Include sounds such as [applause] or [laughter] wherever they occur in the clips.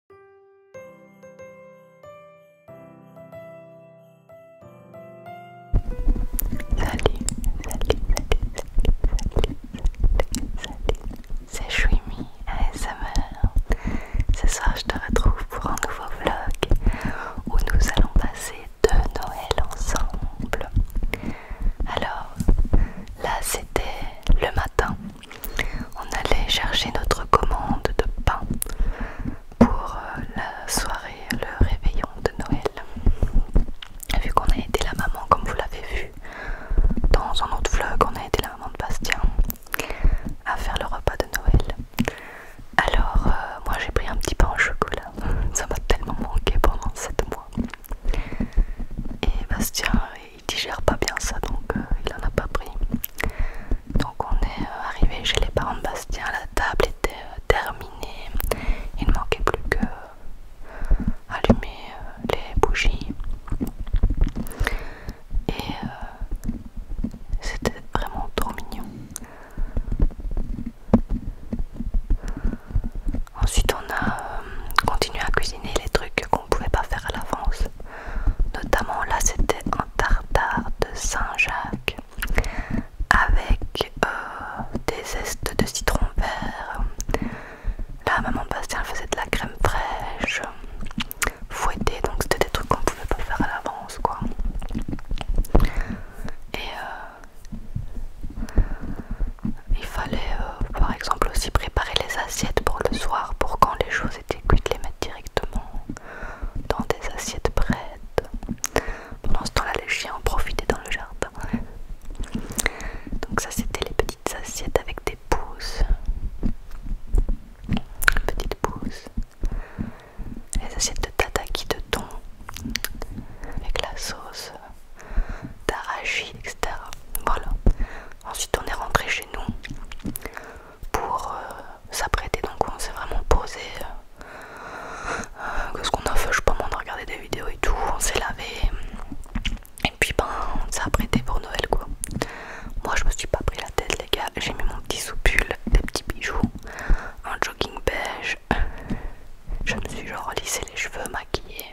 Salut, salut, salut, salut, salut, salut, salut, c'est Chouimi ASMR. Ce soir, je te retrouve pour un nouveau vlog où nous allons passer de Noël ensemble. Alors, là, c'était le matin on allait chercher notre commande de pain pour euh, la soirée, le réveillon de Noël. Vu qu'on a aidé la maman, comme vous l'avez vu dans un autre vlog, on a aidé la maman de Bastien à faire le repas de Noël. Alors, euh, moi j'ai pris un petit pain au chocolat, [laughs] ça m'a tellement manqué pendant 7 mois. Et Bastien, il digère pas bien ça donc euh, il en a pas pris. Donc on est euh, arrivé chez les parents de Bastien, la table était euh, terminée, il ne manquait plus que allumer les bougies et c'était vraiment trop mignon. Ensuite on a continué à cuisiner les trucs qu'on pouvait pas faire à l'avance. Notamment là c'était tartare de Saint-Jacques avec euh, des zestes de citron vert. Là, maman Bastien faisait de la crème fraîche fouettée, donc c'était des trucs qu'on pouvait pas faire à l'avance quoi. Et euh, il fallait euh, par exemple aussi préparer les assiettes pour le soir pour quand les choses et puis de les mettre directement dans des assiettes prêtes. Pendant ce temps-là, les chiens ont profité dans le jardin. Donc ça, c'était les petites assiettes avec des pousses. Petites pousses. Les assiettes de tataki de thon avec la sauce d'arachide, etc. Voilà. Ensuite, on est rentré chez nous pour euh, s'apprêter. Donc on s'est vraiment posé. Euh, que ce qu'on a fait, je sais pas moi, on a des vidéos et tout, on s'est lavé. Et puis ben on s'est apprêté pour Noël quoi. Moi je me suis pas pris la tête les gars, j'ai mis mon petit sous-pull des petits bijoux, un jogging beige. Je me suis genre lissé les cheveux, maquillé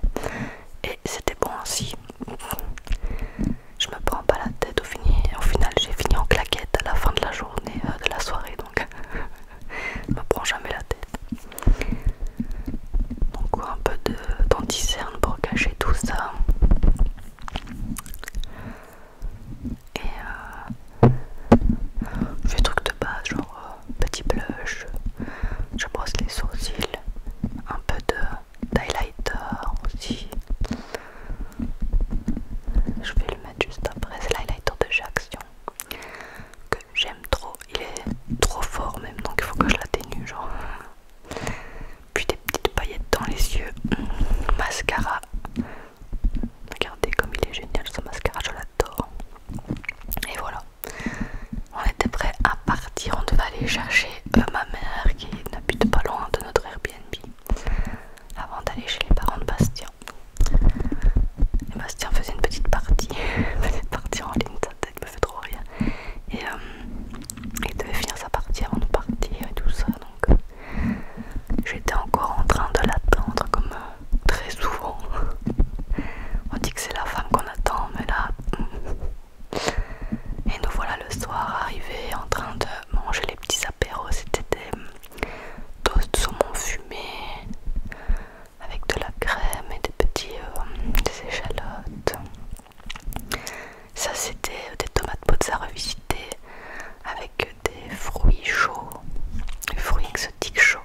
et c'était bon aussi je me prends pas la tête au, fini, final j'ai fini en claquette à la fin de la journée euh, de la soirée donc [laughs] je me prends jamais la tête donc un peu d'anticerne pour cacher tout ça et je euh, fais des de base genre euh, petit blush je brosse les sourcils un peu de d'highlighter aussi. Je vais le mettre juste après, c'est l'highlighter de chez que j'aime trop. Il est trop fort même, donc il faut que je l'atténue genre. Puis des petites paillettes dans les yeux, mascara. Regardez comme il est génial ce mascara, je l'adore. Et voilà, on était prêt à partir. On devait aller chercher euh, ma mère qui n'habite pas loin de notre Airbnb avant d'aller chez les parents de Bastien. Et Bastien faisait une petite partie, [laughs] petite partie en ligne, sa tête me fait trop rien, Et euh, il devait finir sa partie avant de partir et tout ça. Donc euh, j'étais encore en train de l'attendre comme euh, très souvent. [laughs] On dit que c'est la femme qu'on attend, mais là... [laughs] Et nous voilà le soir Arrivé en train de manger les petits apéros, c'était des de hum, saumon fumé avec de la crème et des petits euh, échalotes. Ça c'était euh, des tomates à revisitées avec des fruits chauds, des fruits exotiques chauds.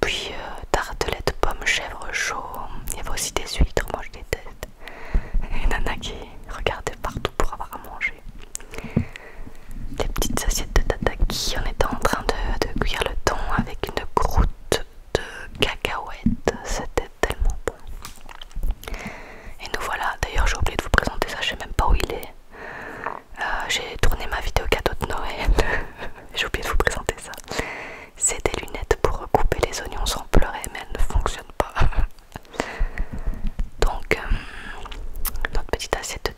Puis euh, tartelettes pommes chèvres chaud Il y avait aussi des huîtres, moi je déteste. Et nana regardait partout pour avoir à manger. Des petites assiettes de tataki qui on était en train de, cuire le thon avec une croûte de cacahuètes. C'était tellement bon. Et nous voilà. D'ailleurs j'ai oublié de vous présenter ça, je sais même pas où il est. Euh, j'ai tourné ma vidéo cadeau de Noël. [laughs] j'ai oublié de vous présenter ça. C'est des lunettes pour couper les oignons sans pleurer mais elles ne fonctionnent pas. [laughs] Donc, euh, notre petite assiette de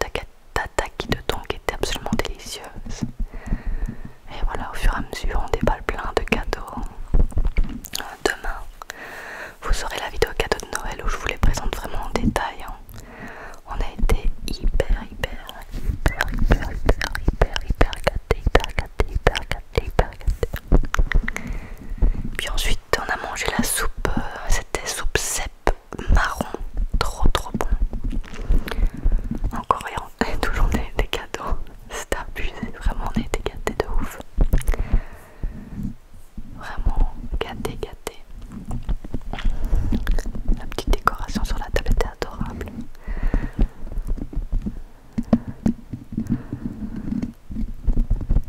tataki de tong était absolument délicieuse. Et voilà, au fur et à mesure, on déballe plein de cadeaux. Demain, vous aurez la vidéo cadeau de Noël où je vous les présente vraiment en détail. Hein. On a été hyper, hyper, hyper, hyper, hyper, hyper, hyper gâtés, hyper gâtés, hyper gâtés, hyper gâtés. Puis ensuite, on a mangé la soupe, euh, c'était soupe cèpe marron, trop trop bon. Encore et [laughs] toujours des, cadeaux, [laughs] c'était abusé, vraiment on été gâtés de ouf. Vraiment gâtés, gâtés. La petite décoration sur la table était adorable.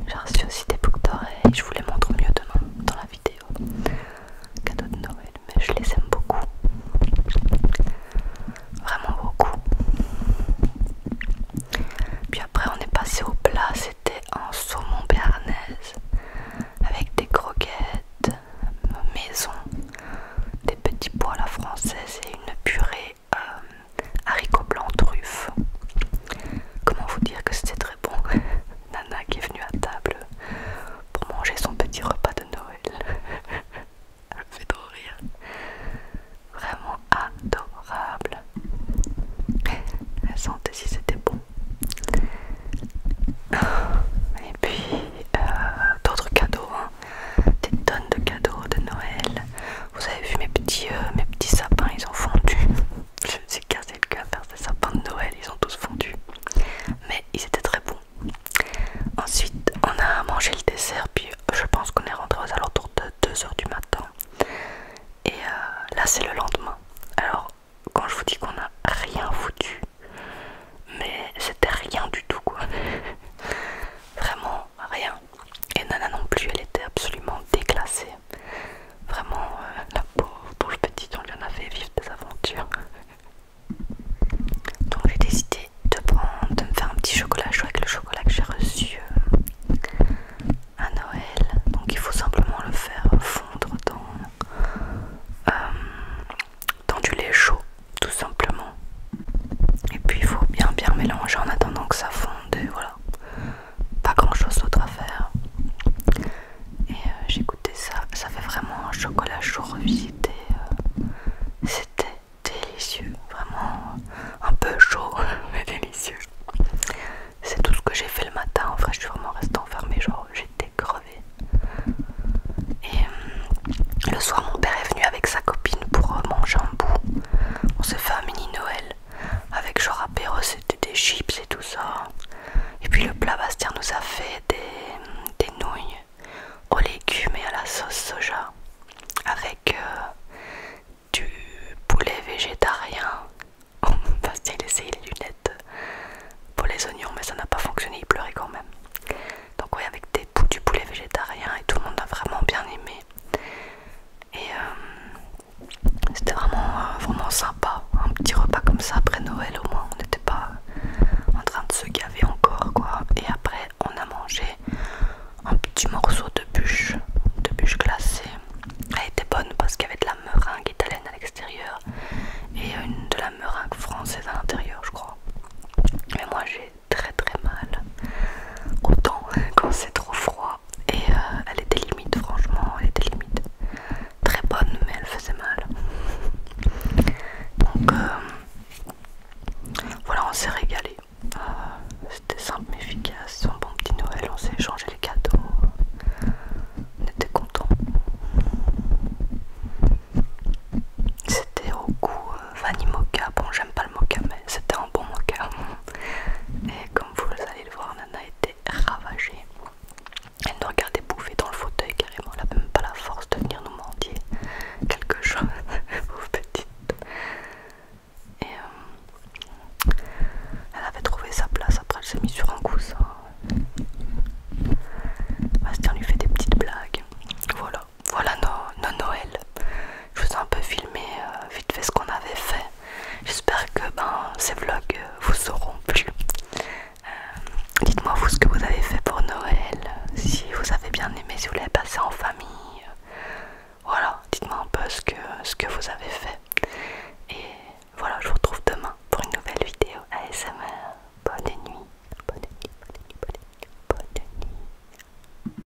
J'ai reçu aussi des boucles d'oreilles, je vous les montre mieux demain dans la vidéo. Cadeau de Noël, mais je les aime beaucoup. Vraiment beaucoup. Puis après on est passé au plat, c'était un saumon béarnaise avec des croquettes maison, des petits pois à la française et une purée euh, haricots blancs truffes. Comment vous dire que c'était très bon [laughs] Nana qui est venue à table pour manger son petit repas de Noël. [laughs] Elle me fait trop rire. Vraiment adorable. Elle sentait si c'était bon. [laughs] Et puis euh, d'autres cadeaux, hein. des tonnes de cadeaux de Noël. Vous avez vu mes petits, euh, mes petits sapins, ils ont fondu. [laughs] Je me suis cassé le cœur à faire ces sapins de Noël, ils ont tous fondu. Mais ils étaient très bons. Ensuite, on a mangé le dessert, puis je pense qu'on est rentré aux alentours de 2h du matin. Et euh, là, c'est le lendemain. Alors, quand je vous dis qu'on n'a rien foutu, mais c'était rien du tout quoi. [laughs] Vraiment rien. Et Nana non plus, elle était absolument déclassée. Vraiment, euh, la pauvre, petite, on lui en a fait vivre des aventures. Donc j'ai décidé de, prendre, de me faire un petit chocolat chaud avec le chocolat que j'ai reçu euh, à Noël. Donc il faut simplement le faire fondre dans, euh, dans du lait chaud, tout simplement. Et puis il faut bien bien mélanger en attendant que ça fonde voilà pas grand chose d'autre à faire. Et euh, j'ai goûté ça, ça fait vraiment un chocolat chaud revisité. Euh, c'était délicieux, vraiment euh, un peu chaud, [laughs] mais délicieux. C'est tout ce que j'ai fait le matin, en vrai je suis vraiment restée enfermée, genre j'étais crevée. Et le soir mon père est venu avec sa copine pour manger un bout. On s'est fait un mini Noël avec genre apéro c'était des chips et tout ça et puis le plat Bastien nous a fait des, nouilles aux légumes et à la sauce soja avec euh, du poulet végétarien Parce [laughs] Bastien essayait les lunettes pour les oignons mais ça n'a pas fonctionné il pleurait quand même donc oui avec des, du poulet végétarien et tout le monde a vraiment bien aimé et euh, c'était vraiment, euh, vraiment sympa, un petit repas comme ça après Noël au moins, on n'était pas euh, en train de se gaver encore quoi. Et après on a mangé un petit morceau de bûche, de bûche glacée. Elle était bonne parce qu'il y avait de la meringue italienne à l'extérieur et de la meringue française à l'intérieur je crois. Mais moi j'ai très très mal, autant [laughs] quand c'est trop froid et euh, elle était limite, franchement, elle était limite très bonne, mais elle faisait mal. Donc euh, voilà, on s'est régalé. Euh, c'était simple mais efficace, un bon petit Noël, on s'est échangé les cadeaux, on était contents. C'était au goût vanille mocha. Bon, j'aime pas le mocha, mais c'était un bon mocha. Et comme vous allez le voir, Nana était ravagée. Elle nous regardait bouffer dans le fauteuil carrément, elle n'avait même pas la force de venir nous mendier quelque chose, [laughs] pauvre petite. Et euh, elle avait trouvé sa place, après elle s'est mise sur un coussin. Bastien lui fait des petites blagues. Voilà, voilà nos, Noël. Je vous ai un peu filmé euh, vite fait ce qu'on avait fait. J'espère que ben, ces vlogs euh, vous auront plu. Euh, dites-moi vous ce que vous avez fait pour Noël, si vous avez bien aimé, si vous l'avez passé en famille. Voilà, dites-moi un peu ce que, ce que vous avez fait. Et voilà, je vous retrouve demain pour une nouvelle vidéo ASMR. bonne nuit, bonne nuit, bonne nuit.